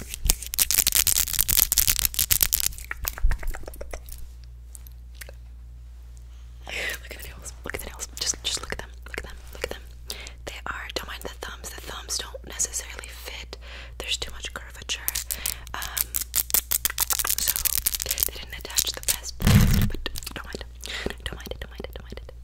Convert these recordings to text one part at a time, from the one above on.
Look at the nails. Look at the nails. Just just look at them. Look at them. Look at them. They are don't mind the thumbs. The thumbs don't necessarily fit. There's too much curvature. Um, so they didn't attach the best, but don't mind. Don't mind it, don't mind it, don't mind it.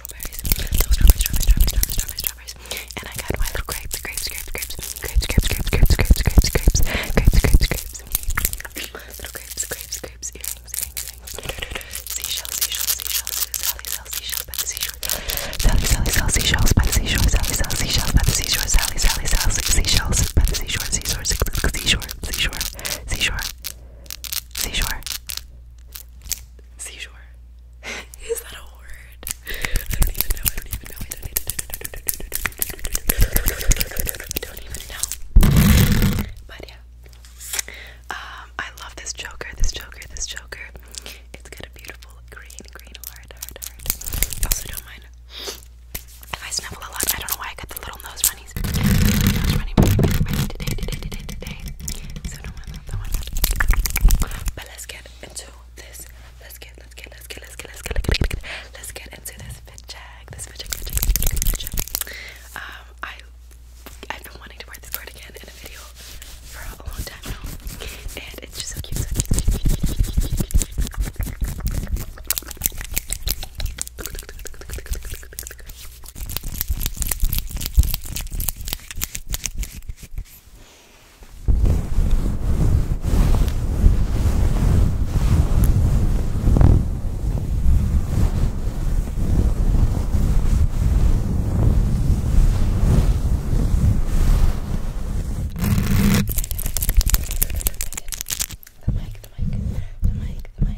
strawberries, little strawberries, strawberries, strawberries, strawberries, strawberries, and I got my little grapes, grapes, grapes, grapes, grapes, grapes, grapes, grapes, grapes, grapes, grapes, grapes, grapes, grapes, little grapes, grapes, grapes, earrings, earrings, earrings, seashells, seashells, seashells, Sally sells seashells by the seashore, Sally, Sally sells seashells by the seashore, Sally sells seashells by the seashore, Sally, Sally sells seashells by the seashore, seashore, seashore, seashore, seashore, seashore. Seashore. Is that a word? I don't even know. I don't even know. I don't even know. I don't even know. But yeah. Um, I love this joker, this joker, this joker. It's got a beautiful green, green heart, Also don't mind if I sniffle a lot. I don't know why I got the little nose runnies. Nose running today, today, today, today. So don't mind that, don't mind that but let's get into this. Let's get, let's get, let's get, let's get, let's get, let's get, let's get into this fit check. This fit check, fit check, fit check, fit check. Um, I, I've been wanting to wear this cardigan in a video for a long time now, and it's just so cute. So cute, cute, cute, cute, cute, cute, cute. The mic, the mic, the mic, the mic.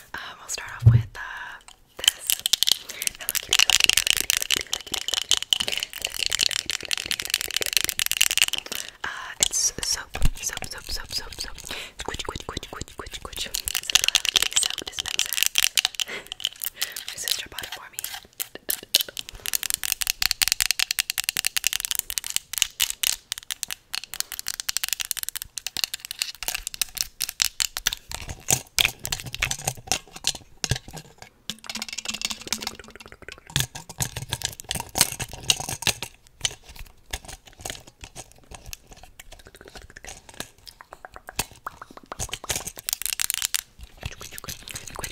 Um, I'll start off with uh, this. Uh, it's soap, soap, soap, soap, soap, soap. Squidge, squidge, squidge, squidge, squidge, squidge. My sister bought it for me. Quit, quit,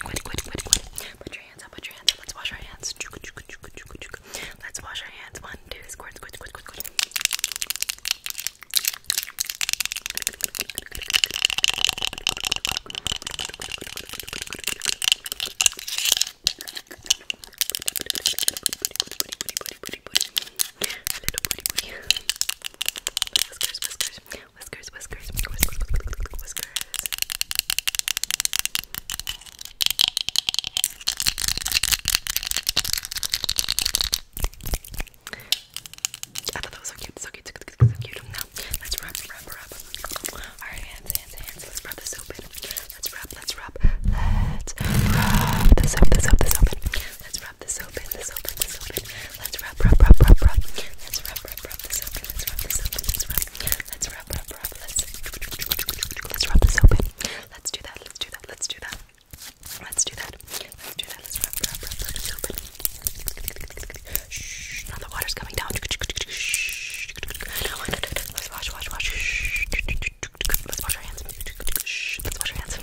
quit, quit, quit. Put your hands up, put your hands up. Let's wash our hands. Let's wash our hands. One, two, squirt, squirt, squirt, squirt. Whiskers, whiskers, whiskers, whiskers, whiskers, whiskers. I thought that was so cute, so cute, so cute, so cute. Now, let's wrap, wrap, wrap. Our hands, hands, hands. Let's wrap this open. Let's wrap, let's wrap. Let's wrap this up, this up, this open. Let's wrap this open, this open, this open. Let's wrap, wrap, wrap, wrap, wrap. Let's wrap, wrap, wrap this open. Let's wrap this open, let's wrap. Let's wrap, wrap, wrap. Let's, let's wrap this open. Let's do that, let's do that, let's do that. Let's do that. Let's do that. Let's rub, rub, rub, rub it open. Shh, now the water's coming down. Shh. Let's wash, wash, wash. Shh. Let's wash our hands. Shh. Let's wash our hands. I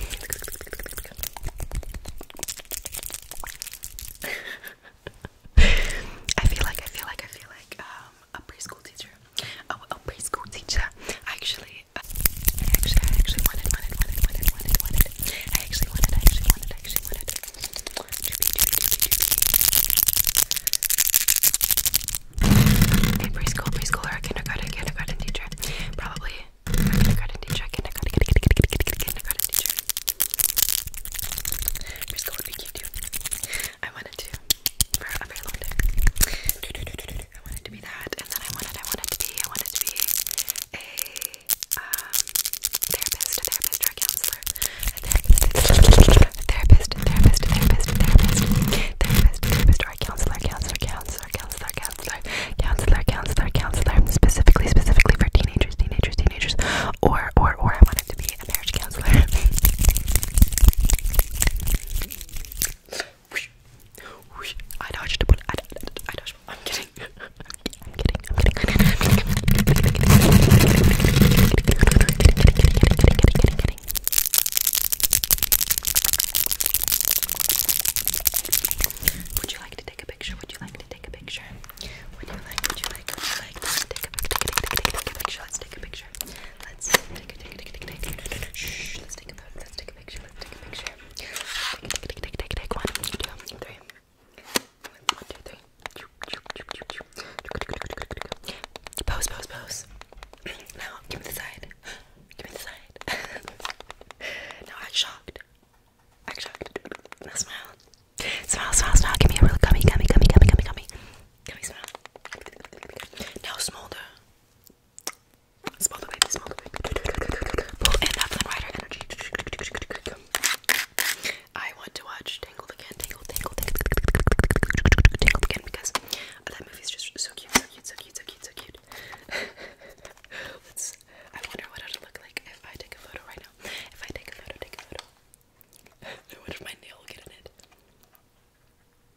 feel like, I feel like, I feel like um, a preschool teacher. Oh, a preschool teacher. Actually, actually, uh, I actually, I actually wanted, wanted, wanted, wanted, wanted, wanted. I actually wanted, I actually wanted, I actually wanted. A preschool, preschooler, a kindergarten, kindergarten teacher, probably a kindergarten teacher, kindergarten, kindergarten, kindergarten teacher. Preschool would be cute too. I wanted to for a very long time. I want it to be that, and then I want it, I want it to be, I want it to be a um, therapist, a therapist, or a counselor, a therapist, a therapist, a therapist, a therapist, a therapist, a therapist, a therapist, or a counselor, counselor, counselor, counselor, counselor, counselor, counselor, counselor, specifically, specifically for teenagers, teenagers, teenagers, or, or, or I want it to be a marriage counselor. I dodged a bullet. I, I dodged. I'm kidding. I'm kidding. I'm kidding. I'm kidding. Would you like to take a picture? Would you like to take a picture? Would you like? Would you like? Would you like to take a picture? Take a picture. Let's take a picture. Let's take a take a take a take a take a. Shh. Let's take a photo. Let's take take a picture. Let's take a picture. Take, take, take, take, take, take. One, two, three. One, two, three. Pose, pose, pose. Now, give me the side. Give me the side. now I'm shocked. I'm shocked. Now smile. Smile, smile, smile. Give me a really gummy, gummy, gummy, gummy, gummy, gummy. Gummy smile. Now smolder. I want to watch Tangled again, Tangled, Tangled, Tangled, Tangled again because that movie is just so cute, so cute, so cute, so cute, so cute. I wonder what it'll look like if I take a photo right now. If I take a photo, take a photo. I if my nail will in it.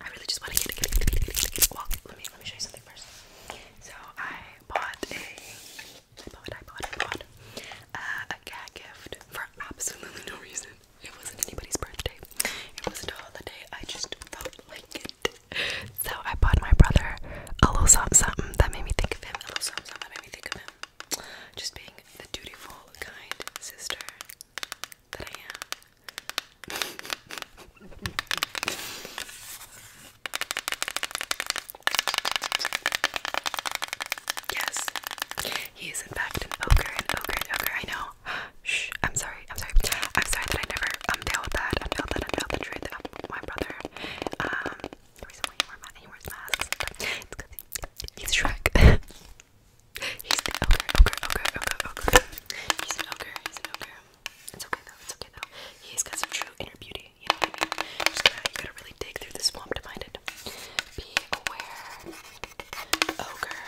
I really just want to get it. Well, let me let me show you something first. So I bought a I bought I bought I bought uh, a gag gift for absolutely no reason. It wasn't anybody's birthday. It wasn't a holiday. I just felt like it. So I bought my brother a little something, something that made me think of him. A little something, something that made me think of him. Just being the dutiful, kind sister that I am yes, he is in fact an ogre, an ogre, an ogre. I know. Shh. I'm sorry. I'm sorry. I'm sorry that I never I'm um, unveiled that. I Unveiled that. I Unveiled the truth of my brother. Um, recently he, wore he wears masks. it's because he, he's Shrek. He's the ogre, ogre, ogre, ogre, ogre. He's an ogre, he's an ogre. It's okay though, it's okay though. He's got some true inner beauty, you know what I gotta, you gotta really dig through the swamp to find it. Be aware, ogre.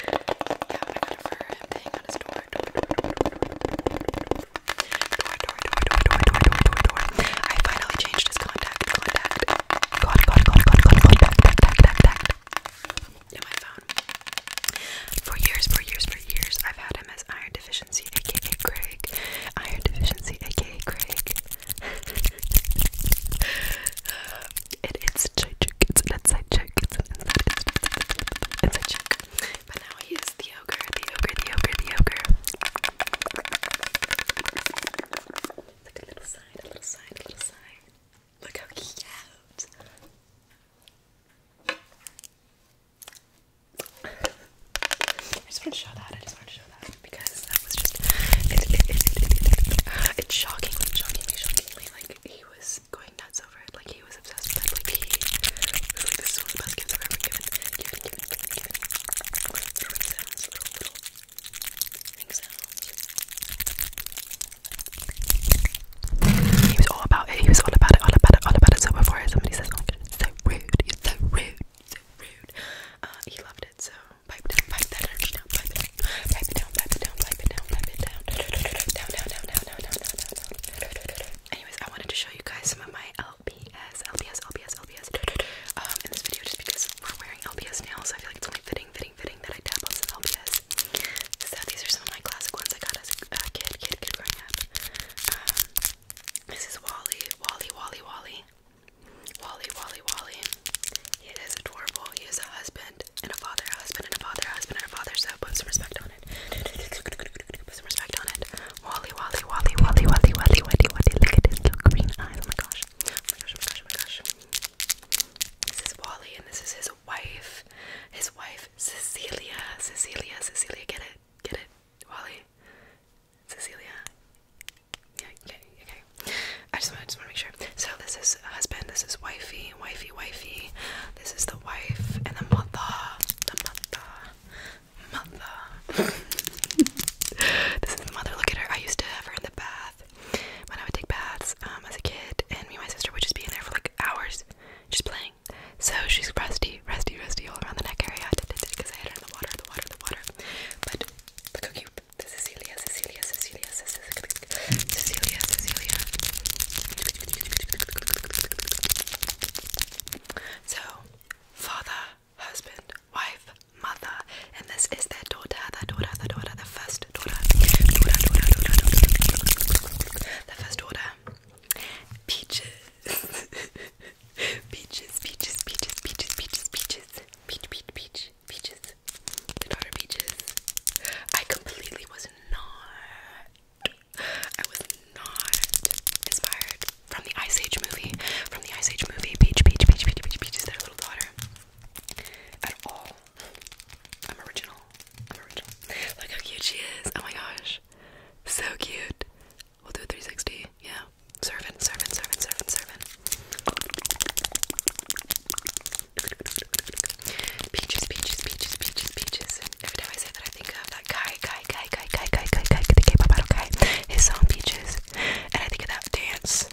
yeah, I got him hang on his door. Door, door, door, door, door, door. Door, door, door, door, door, door, door, door, door. I finally changed his contact, contact. God, God, God, God, God, God, back, back, back, back, back. For years, for years, for years, I've had him as iron deficiency, aka Craig. Iron deficiency, aka Craig. it's a joke, it's an inside joke, it's an inside, joke. it's, a joke. But now he is the ogre, the ogre, the ogre, the ogre. It's like a little side, a little side, a little side. Look how cute! I just wanted to show that. I just wanted to show that because that was just it, it, it, it, it's shocking, Like he was going nuts over it. Like he was obsessed Like he was like, this is one of the best gifts I've ever given. Given, given, given, given. Little ring sounds, little, little he was all about it. He was all about it. All about it. All about it. So before somebody says, "Oh, it's so rude," it's so rude. So rude. Uh, he loved it. So pipe that energy down, pipe it down, pipe it down, pipe it down, pipe it down, pipe it down, down, down, down, down, down, down, down, down. Anyways, I wanted to show you guys some of my LBS, LBS, LBS, LBS. Um, in this video, just because we're wearing LBS nails, I feel like it's only fitting fitting fitting that I tap on some LPS. So these are some of my classic ones I got as a uh, kid, kid, kid growing up. Um, this is Wally, Wally, Wally, Wally. Wally, Wally, Wally. He is adorable. He is a husband and a father, a husband and a father, a husband and a father. So put some respect on it. Put some respect on it. Wally, Wally, Wally, Wally, Wally, Wally, Wally, Wally. Look at his little green eyes. Oh my gosh. Oh my gosh. Oh my gosh. Oh my gosh. This is Wally and this is his wife. His wife, Cecilia. Cecilia, Cecilia, get it? Get it? Wally? Cecilia? Yeah, okay, okay. I just want to make sure. So this is husband, this is wifey, wifey, wifey. This is the wife and the mother. The mother. Mother. this is the mother. Look at her. I used to have her in the bath. When I would take baths um, as a kid, and me and my sister would just be in there for like hours, just playing. So she's rusty, rusty, rusty all around the neck area because I had her in the water, the water, the water. But look how cute. This is Cecilia, Cecilia, Cecilia, Cecilia, Cecilia. So, father, husband, wife, mother, and this is their daughter, their daughter, their daughter, the first daughter, daughter, daughter, daughter, daughter. the first daughter, peaches, peaches, peaches, peaches, peaches, peaches, peaches, peach, peach, peach, peaches, the daughter peaches. I completely was not, I was not inspired from the Ice Age movie, from the Ice Age movie, peach, peach, peach, peach, peach, peach, peach is their little daughter at all. I'm original. I'm original. Look how cute she is. Oh my gosh. So cute. We'll do 360. Yeah. Servant, servant, servant, servant, servant. Peaches, peaches, peaches, peaches, peaches. Every time I say that, I think of that guy, guy, guy, guy, guy, guy, guy, guy, the K-pop idol guy. His song Peaches, and I think of that dance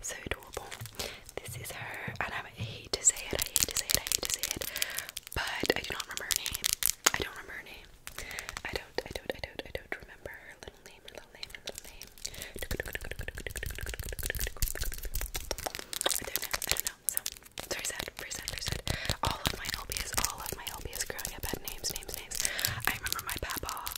So adorable. This is her, and I hate to say it, I hate to say it, I hate to say it, but I do not remember her name. I don't remember her name. I don't, I don't, I don't, I don't remember her little name, little name, little name. I don't know, I don't know. So, it's very sad, very sad, very All of my LBs, all of my LBs growing up had names, names, names. I remember my papa.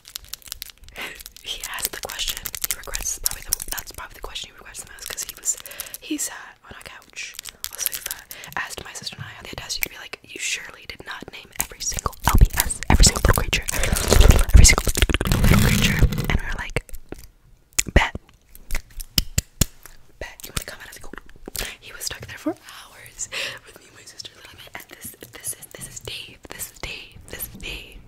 he asked the question he regrets is probably the, that's probably the question he regrets the most because he was he sat on a couch on a sofa asked my sister and I on the test you'd be like you surely did not name every single LPS every single little creature every, every single little creature and we were like bet bet you want to come out as like, he was stuck there for hours with me and my sister and this this is this is Dave this is Dave this is Dave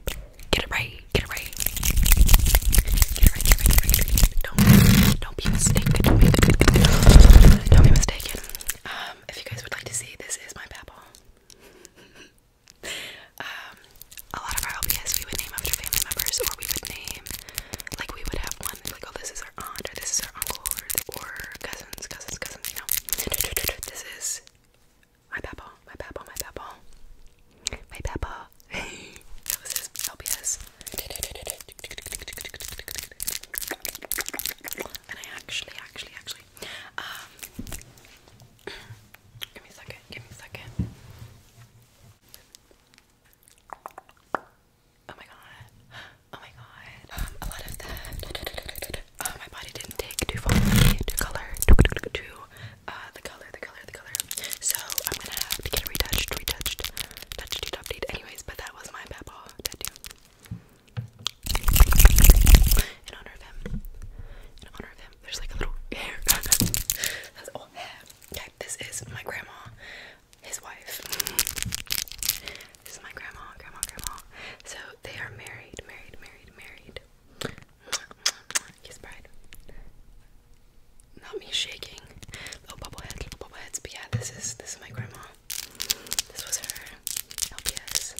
get it right Get it right. Get it right, get it right, get it right, get it right. Don't, don't be mistaken. Don't be, good, good, good. Don't be mistaken. Um, if you guys would like to see, this is my babble. um, a lot of our LBS we would name after family members, or we would name, like we would have one, like, oh, this is our aunt, or this is our uncle, or, or cousins, cousins, cousins, you know. This is my papa, my papa, my papa, my papa. that was And I actually, actually, actually, um, give me a second, give me a second. Oh my god, oh my god, um, a lot of that, uh, my body didn't take too far, too color, too, too, too uh, the color, the color, the color. So I'm gonna have to get retouched, retouched, touched, touched, update. Anyways, but that was my papaw tattoo. In honor of him. In honor of him. There's like a little hair. That's all hair. Okay, this is my grandma, his wife. This is my grandma, grandma, grandma. So they are married, married, married, married. Kiss Bride. Not me shaking. Little bubblehead, bubbleheads. But yeah, this is this is my grandma. This was her LPS.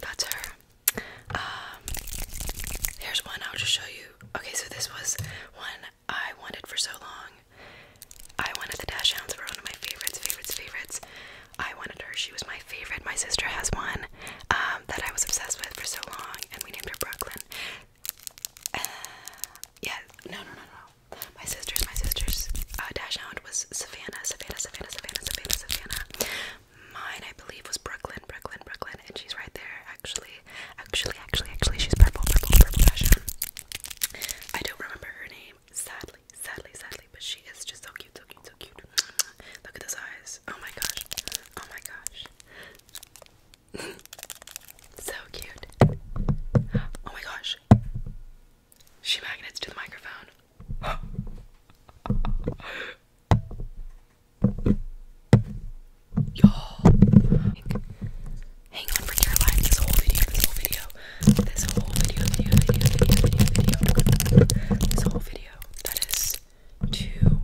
That's her. Um, here's one I'll just show you. Okay, so this was one I wanted for so long. I wanted the Dash Hounds were one of my favorites, favorites, favorites. I wanted her. She was my favorite. My sister has one um, that I was obsessed with for so long, and we named her Brooklyn. yeah, no, no, no, no. My sisters, my sisters. Uh, Dash Hound was Savannah, Savannah, Savannah, Savannah, Savannah, Savannah. Mine, I believe, was Brooklyn, Brooklyn, Brooklyn, and she's right there, actually. Actually, actually, actually, she's purple, purple, purple Dash I don't remember her name, sadly, sadly, sadly, but she is just so cute, so cute, so cute. Look at those eyes. Oh my gosh. Oh my gosh. so cute. Oh my gosh. She magnets to the microphone. you Hang on for dear life this whole video, this whole video. This whole video, video, video, video, video. This whole video. That is too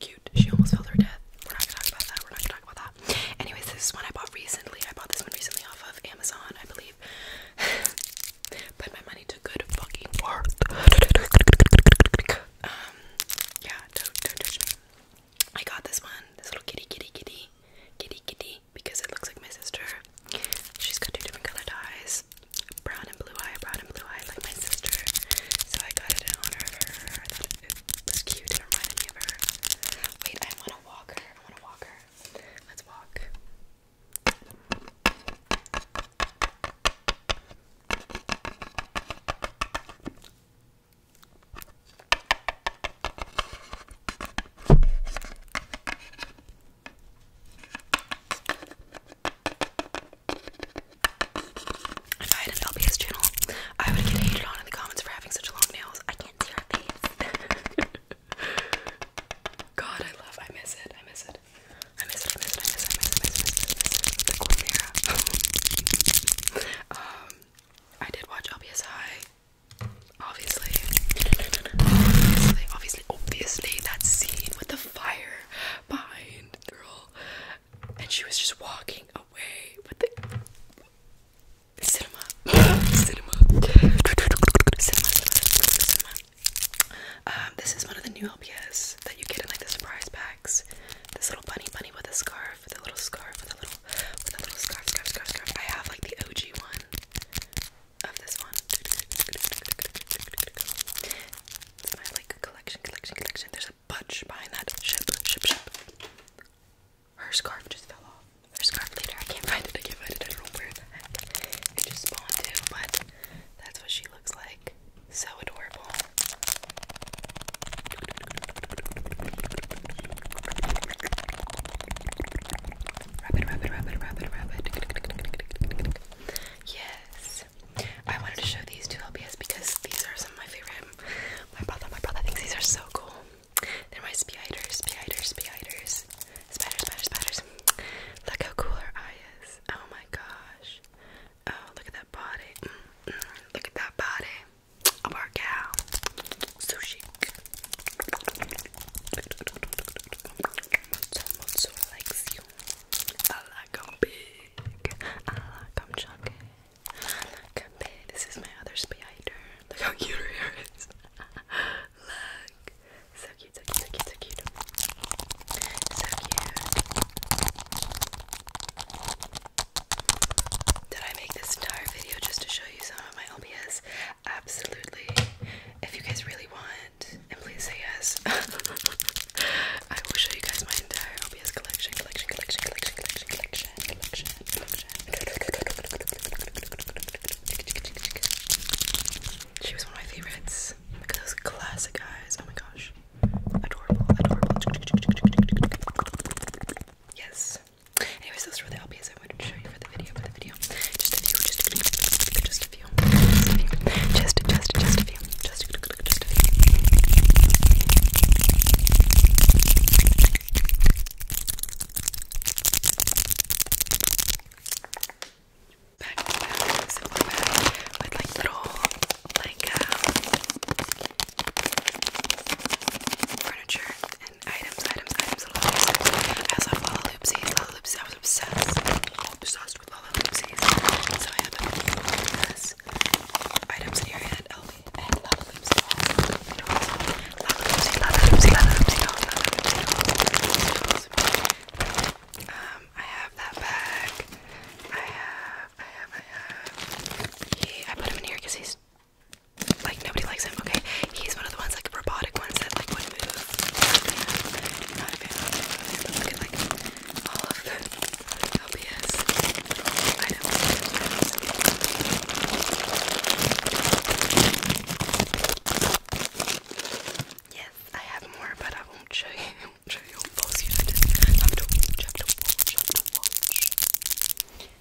cute. She almost fell to her death. We're not gonna talk about that. We're not gonna talk about that. Anyways, this one I bought recently. I bought this one recently off of Amazon, I believe. Put my money to good fucking work. um, yeah, don't, do me. I got this one, this little kitty, kitty, kitty, kitty, kitty, because it looks like my sister. She's got two different colored eyes, brown and blue eye, brown and blue eye, like my sister. So I got it in honor of her it was cute. It reminded me of her. Wait, I want to walk her. I want to walk her. Let's walk. If I had an LPS channel, I would get hated on in the comments for having such long nails. I can't see her face. God, I love, I miss it, I miss it. I miss it, I miss it, I miss it, I miss it, I miss it, I miss it. The Quimera. um, I did watch LPS High. Obviously. obviously, obviously, obviously, that scene with the fire behind the girl, and she was just walking away with the cinema, cinema, cinema, um, this is one of the new LPS that you get in like the surprise packs. This little bunny bunny with a scarf, with a little scarf, with a little, with a little scarf, scarf, scarf, scarf. I have like the OG one of this one. It's my like collection, collection, collection. There's a bunch behind that her scarf just fell off. Her scarf later. I can't find it. I can't find it. I don't know where the heck it just spawned too. but that's what she looks like. So adorable. Yes. I wanted to show these two LPS because these are some of my favorite my brother, my brother thinks these are so cool. They're my spiders, spiders, spiders, spiders, spiders, spiders. Look how cool her eye is. Oh my gosh. Oh, look at that body. Mm-hmm. Look at that body. A workout. Sushi. Motsu, Motsu likes I like big. I like him chunky. Look, babe, this is my other spider. Look how cute her hair is. Look. So cute, so cute, so cute, so cute. So cute. Did I make this entire video just to show you some of my LPS? Absolutely. If you guys really want, and please say yes. I will show you guys my entire LPS collection, collection, collection, collection, collection, collection. She was one of my favorites. Look at those classic eyes. Oh my gosh. Adorable, adorable. Yes. Anyways, those were the LPs I wanted to show you for the video, for the video. Just a few, just a few, just a few, just a few. Back to back, so we're back with like little, like, um, furniture and items, items, items, little items. I also have Lala Loopsies, Lala Loopsies, I was obsessed, obsessed with Lala Loopsies. So I have this items in your head, elf and Lollaloopsy Lollaloopsy, Lollaloopsy, Lollaloopsy, Lollaloopsy Um, I have that bag I have, I have, I have I put him in here because he's like nobody likes him, okay? He's one of the ones like robotic ones that like would move. Not a fan. like all of the Yes, I have more, but I won't show you. show you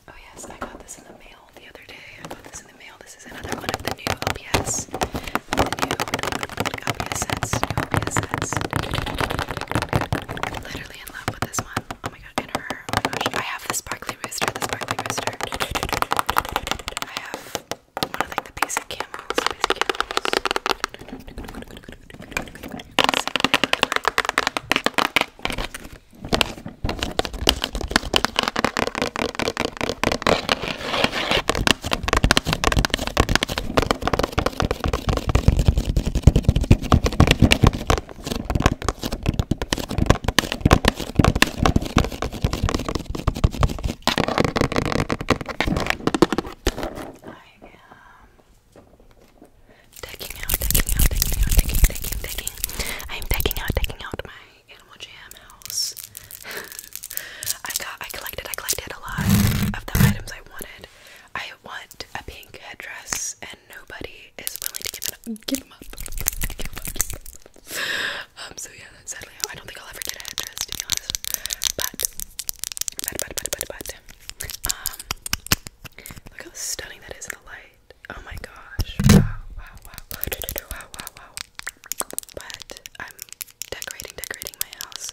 Oh yes, I got this in the mail the other day. I got this in the mail. This is another one of the new LPS. The new LPS sets. LPS sets. literally in love with this one my god, and her. Oh my gosh, I have the sparkly rooster, the sparkly rooster. I have one of like the basic camels, basic camels. Let's see what they look like taking out, taking out, taking out, taking, taking, taking. I'm taking out, taking out my Animal Jam house. I got, I collected, I collected a lot of the items I wanted. I want a pink headdress and nobody is willing to give it up. Give them up. Give them up. Um, so yeah, sadly, I don't think I'll ever get a headdress to be honest. But, but, but, but, but, but, um, look how stunning that is in the light. Oh my gosh! Wow, wow, wow, wow, wow, wow, But I'm decorating, decorating my House,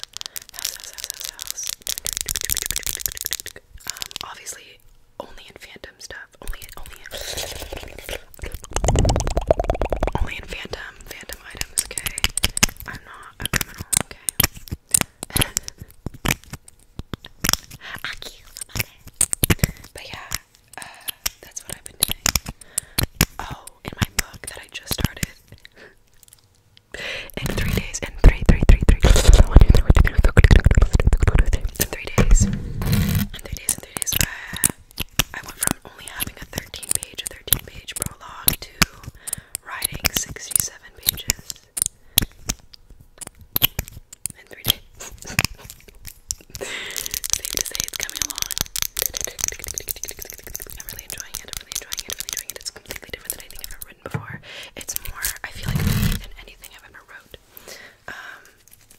house, house, house, house. Um, obviously, only in Phantom stuff. Only, only, in, only in Phantom, Phantom items. Okay, I'm not a criminal. Okay. But yeah, uh, that's what I've been doing. Oh, in my book that I just started. in three days. In three, three, three, three. In three days. In three days. In three days. I went from only having a 13 page, 13 page prologue to writing 67 pages in three days. Safe to say it's coming along. I'm really enjoying it. really enjoying it. really enjoying it. It's completely different than anything I've ever written before. It's more, I feel like, me than anything I've ever wrote. Um,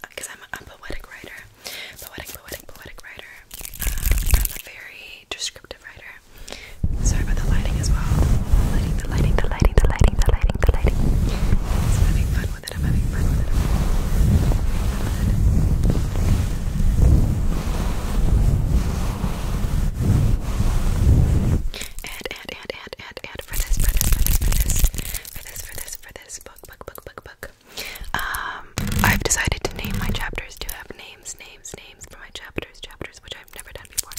because I'm a, poetic writer, poetic, poetic, poetic writer. Um, I'm a very descriptive writer. Sorry about the lighting as well. Lighting, the lighting, the lighting, the lighting, the lighting, the lighting. having fun with it. having fun with it. I'm and, and, and, and, for this, for this, for this, for this, for this, for this, book, book, book, book, book. Um, I've decided to name my chapters to have names, names, names for my chapters, chapters, which I've never done before.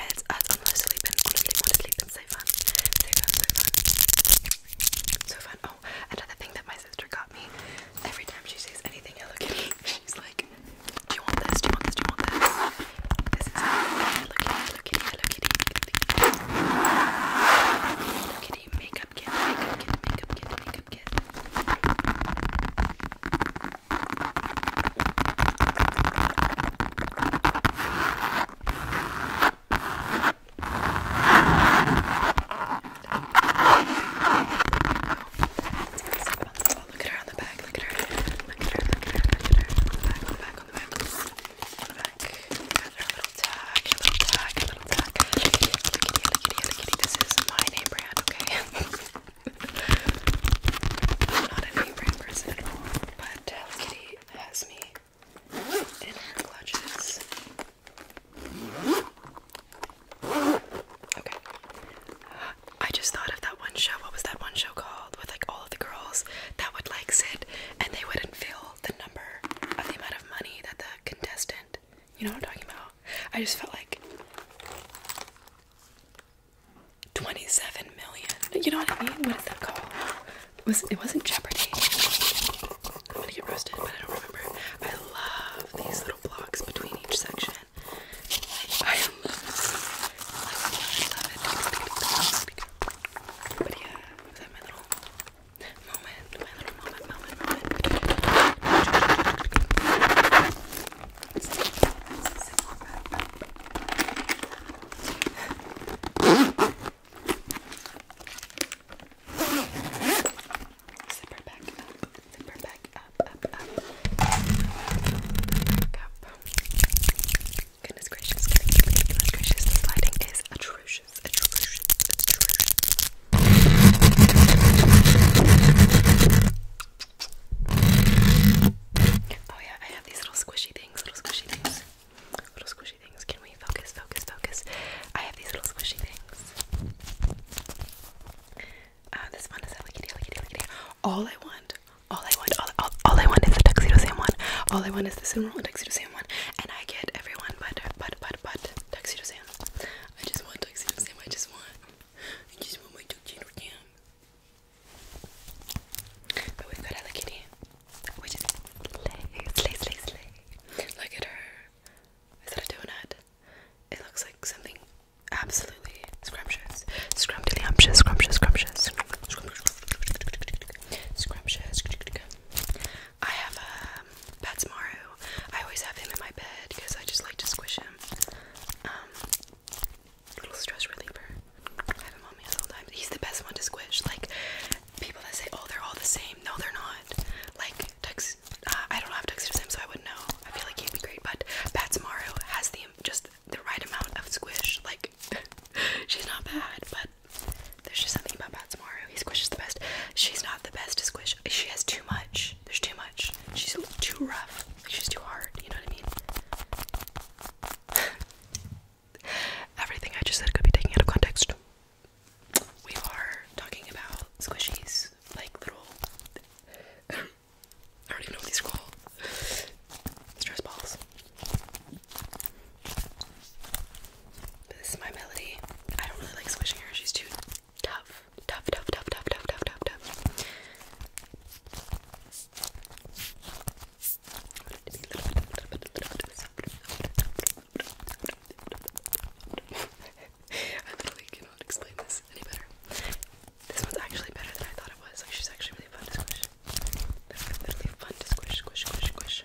And it's uh, honestly been, honestly, honestly been so fun. So fun, so fun. So fun. Oh, another thing that my sister got me. Every time she sees anything she's like, do you want this? Do you want this? Do you want this? This is Hello Kitty, Hello Kitty, Hello Kitty, Hello Kitty makeup kit, makeup kit, makeup kit, makeup kit. Oh, look at her on the back. Look at her. Look at her. Look at her. Look at her. On the back. On the back. On the back. On the back. Got her little tag. Her little tag. Her little tag. Look at you. Look at you. Look at This is my name brand. Okay. I'm not a name brand person at all, but Hello uh, Kitty has me in her clutches. Okay. I just thought of that one show. What was that one show called? With like all of the girls that would like sit and they wouldn't fill the number of the amount of money that the contestant. You know what I'm talking about? I just felt like 27 million. You know what I mean? What is that called? It, was, it wasn't Jeopardy. I'm gonna get roasted, but I don't remember. I love these little blocks between each section. But yeah, was that my little moment, my little moment, moment, moment. Zipper back up, zipper back up, up, up. Back up. Goodness gracious, goodness, gracious, this lighting is atrocious, atrocious, atrocious. Oh yeah, I have these little squishy things, little squishy things, little squishy things. Can we focus, focus, focus? I have these little squishy things. Uh, this one is a lickety, lickety, lickety. All I want, all I want, all, all, all I want is the tuxedo Sam one. All I want is the Sumo and tuxedo Sam one, and I get everyone but but but but tuxedo Sam. I just want tuxedo Sam. I just want, I just want my tuxedo Sam. But we've got Hello Kitty, which is slay, slay, slay, slay. Look at her. Is that a donut? It looks like something absolutely absolutely scrumptious. Scrumptious, scrumptious, scrumptious. Scrumptious. I have a um, Patsmaru. I always have him in my bed because I just like to squish him. Um, little stress reliever. I have him on me at all times. He's the best one to squish. Like people that say, "Oh, they're all the same." No, they're not. Like tux. Uh, I don't have tuxedos, so I wouldn't know. I feel like he'd be great, but Patsmaru has the just the right amount of squish. Like, she's not bad, but there's just something about Pat He squishes the best. She's not the best to squish. She has too much. There's too much. She's too rough. she's too hard. You know what I mean? Everything I just said could be taken out of context. We are talking about squishies, like little I already know what these are called. Stress balls. this is my melody. I don't really like swishing her. She's too tough. Tough, tough, tough, tough, tough, tough, tough, tough. I literally cannot explain this any better. This one's actually better than I thought it was. Like she's actually really fun to squish. That was literally fun to squish, squish, squish, squish.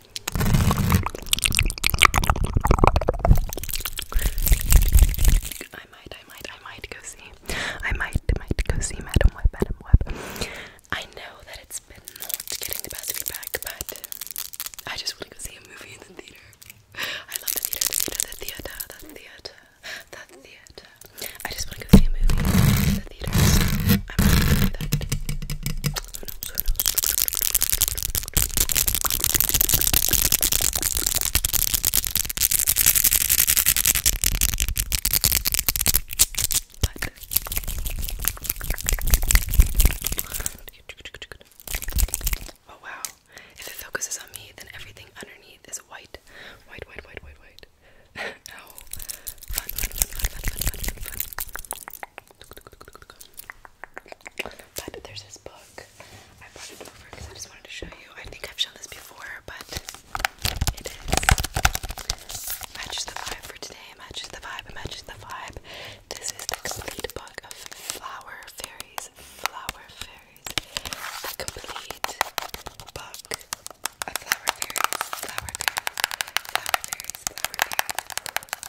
I might, I might, I might go see. I might, might go see Madam Web, Madam Web. I know that it's been not getting the best feedback, but I just want to go see a movie in the theater. I love the theater, the theater, the theater, the theater, the theater. I just want to go see a movie in the theater, Oh wow. If it focuses on me, then everything underneath is white. White, white, white, white, white. Ow. Oh. Fun, fun, fun, fun, fun, fun, fun, fun. But there's this book. I brought it over because I just wanted to show you. I think I've shown this before, but it is. Matches the vibe for today. Matches the vibe. Matches the vibe. This is the complete book of Flower Fairies. Flower Fairies. The complete book of Flower Fairies. Flower Fairies. Flower Fairies.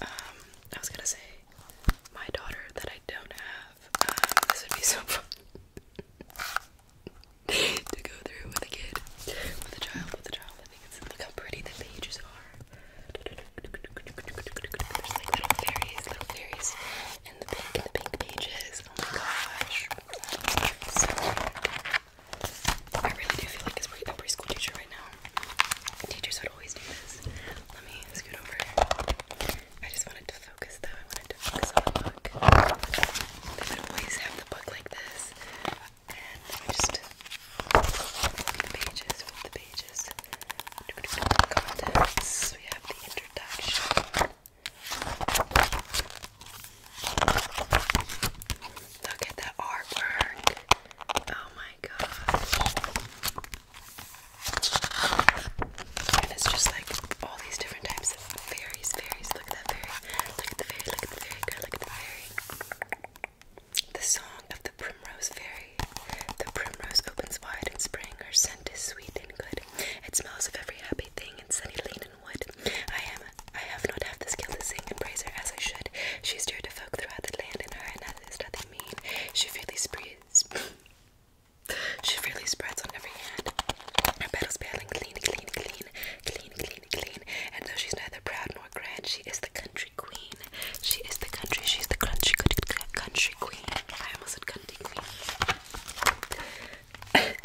Um, I was gonna say my daughter that I don't have. Um, this would be so fun to go through with a kid, with a child, with a child. I think it's look how pretty the pages are. There's like little fairies, little fairies, and the pink, the pink pages. Oh my gosh, I really do feel like it's a preschool teacher right now. Teachers would always do this. Let me scoot over. I just wanted to focus though. I wanted to focus on the book. They would always have the book like this. And I just flip the pages, flip the pages. Contents. We have the introduction. Look at that artwork. Oh my gosh. it's just like all these different types of fairies, fairies. Look at the fairy, look at the fairy, look at the fairy. The song of the primrose fairy. The primrose opens wide in spring. Her scent is sweet and good. It smells of every happy thing in sunny lane and wood. I am I have not half the skill to sing and praise her as I should. She's dear to folk throughout the land, and her and is nothing mean. She freely spreads. she freely spreads on every hand. Her petals pale and clean, clean, clean, clean, clean, clean. And though she's neither proud nor grand, she is the country queen. She is the country. She's the country country queen. I almost said country queen.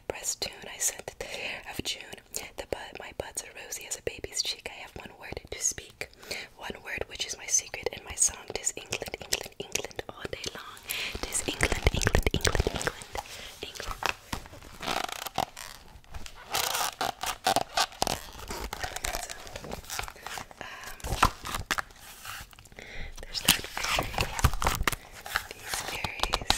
red breast tune I sent the air of June. The bud, my buds are rosy as a baby's cheek. I have one word to speak, one word which is my secret and my song. Tis England, England, England, all day long. Tis England, England, England, England, England. Um, there's that fairy. These fairies.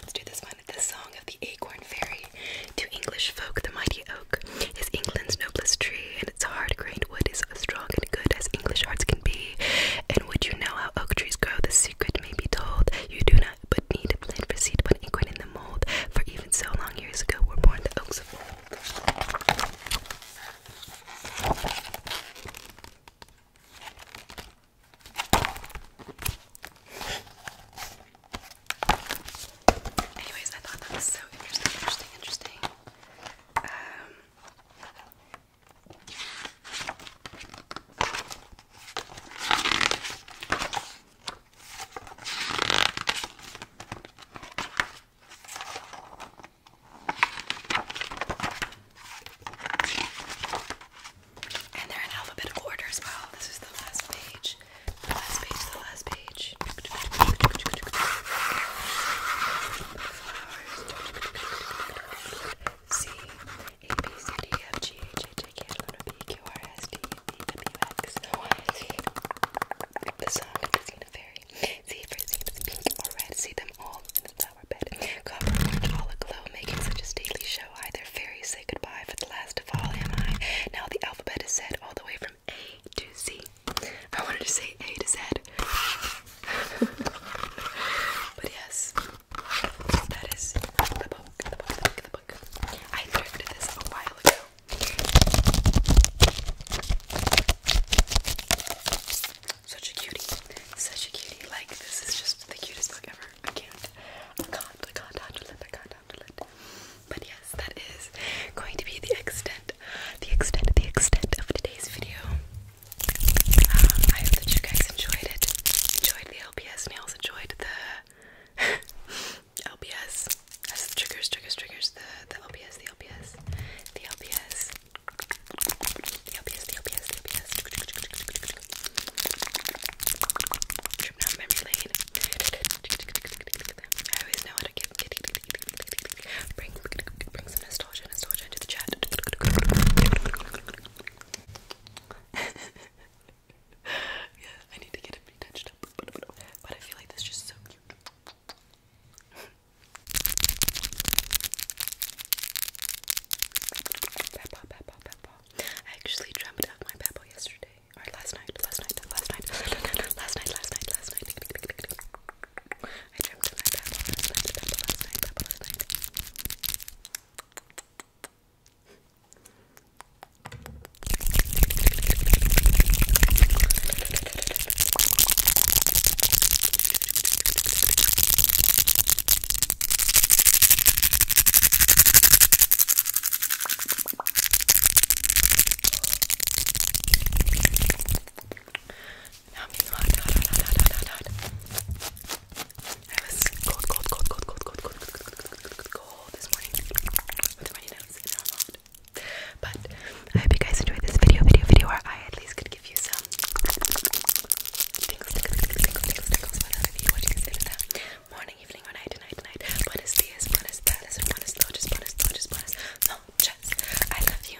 Let's do this one. The Song of the Acorn Fairy. To English folk, the mighty oak is England's noblest tree, and its hard grained wood is as strong and good as English hearts can be. And would you know how oak trees grow? The secret may be told. You do not but need to plant for seed, but acorn in the mold. For even so long years ago were born the oaks of old. Anyways, I thought that was so interesting, interesting, interesting. Um, and they're in alphabetical order as well. This is the last page. The last page, the last page. Flowers. The song is Disney Fairy. See if it's pink or red. See them all in the flower bed. Copper were making such a stately show. I, fairies, say goodbye, for the last of all am I. Now the alphabet is said all the way from A to Z. I wanted to say A to Z. but yes, that is the the book. I thrifted this a while ago. Such a cutie. Such a cutie. Like, this is just the cutest book ever. I can't. I can't. I can't handle it. I can't handle it. But yes, that is going to be the extent, the extent, the extent of today's video. Um, I hope that you guys enjoyed it. Enjoyed the LPS nails. Enjoyed the LPS. That's the triggers, triggers, triggers. The the LPS, the LPS, the LPS. The obvious, the obvious, the obvious. Trip down memory lane. I always know how to get bring bring some nostalgia, nostalgia into the chat. yeah, I need to get it touched up, but I feel like this is just so cute. Peppa, Peppa, Peppa. I actually dreamt of my Peppa yesterday. Or last night, last night, last night, last night, last night, last night, last night. I dreamt of my Peppa last night, Peppa last night, Peppa last night. I was cold, cold, cold, cold, cold, cold, cold, cold, cold, cold, cold, cold this morning with nose, and now i But I hope you guys enjoyed this video, video, video, where I at least could give you some Tingles, you morning, evening, or night, night, night Buenos dias, buenas tardes, buenas noches, buenas noches, buenas noches I love you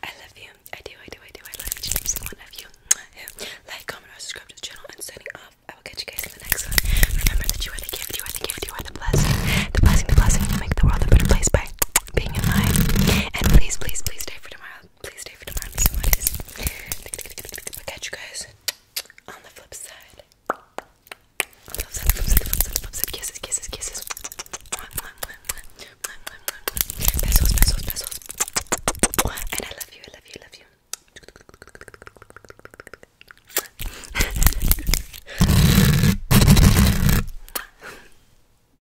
I love you I do, I do, I do I love each and every you Like, comment, or subscribe to the channel And signing off I will catch you guys in the next one Remember that you are the gift, you are the gift, you are the blessing The blessing, the blessing You make the world a better place by being in And please, please, please stay for tomorrow please stay for tomorrow. I'm so I'll catch you guys on the flip side. Kisses, kisses, kisses. And I love you, I love you, I love you.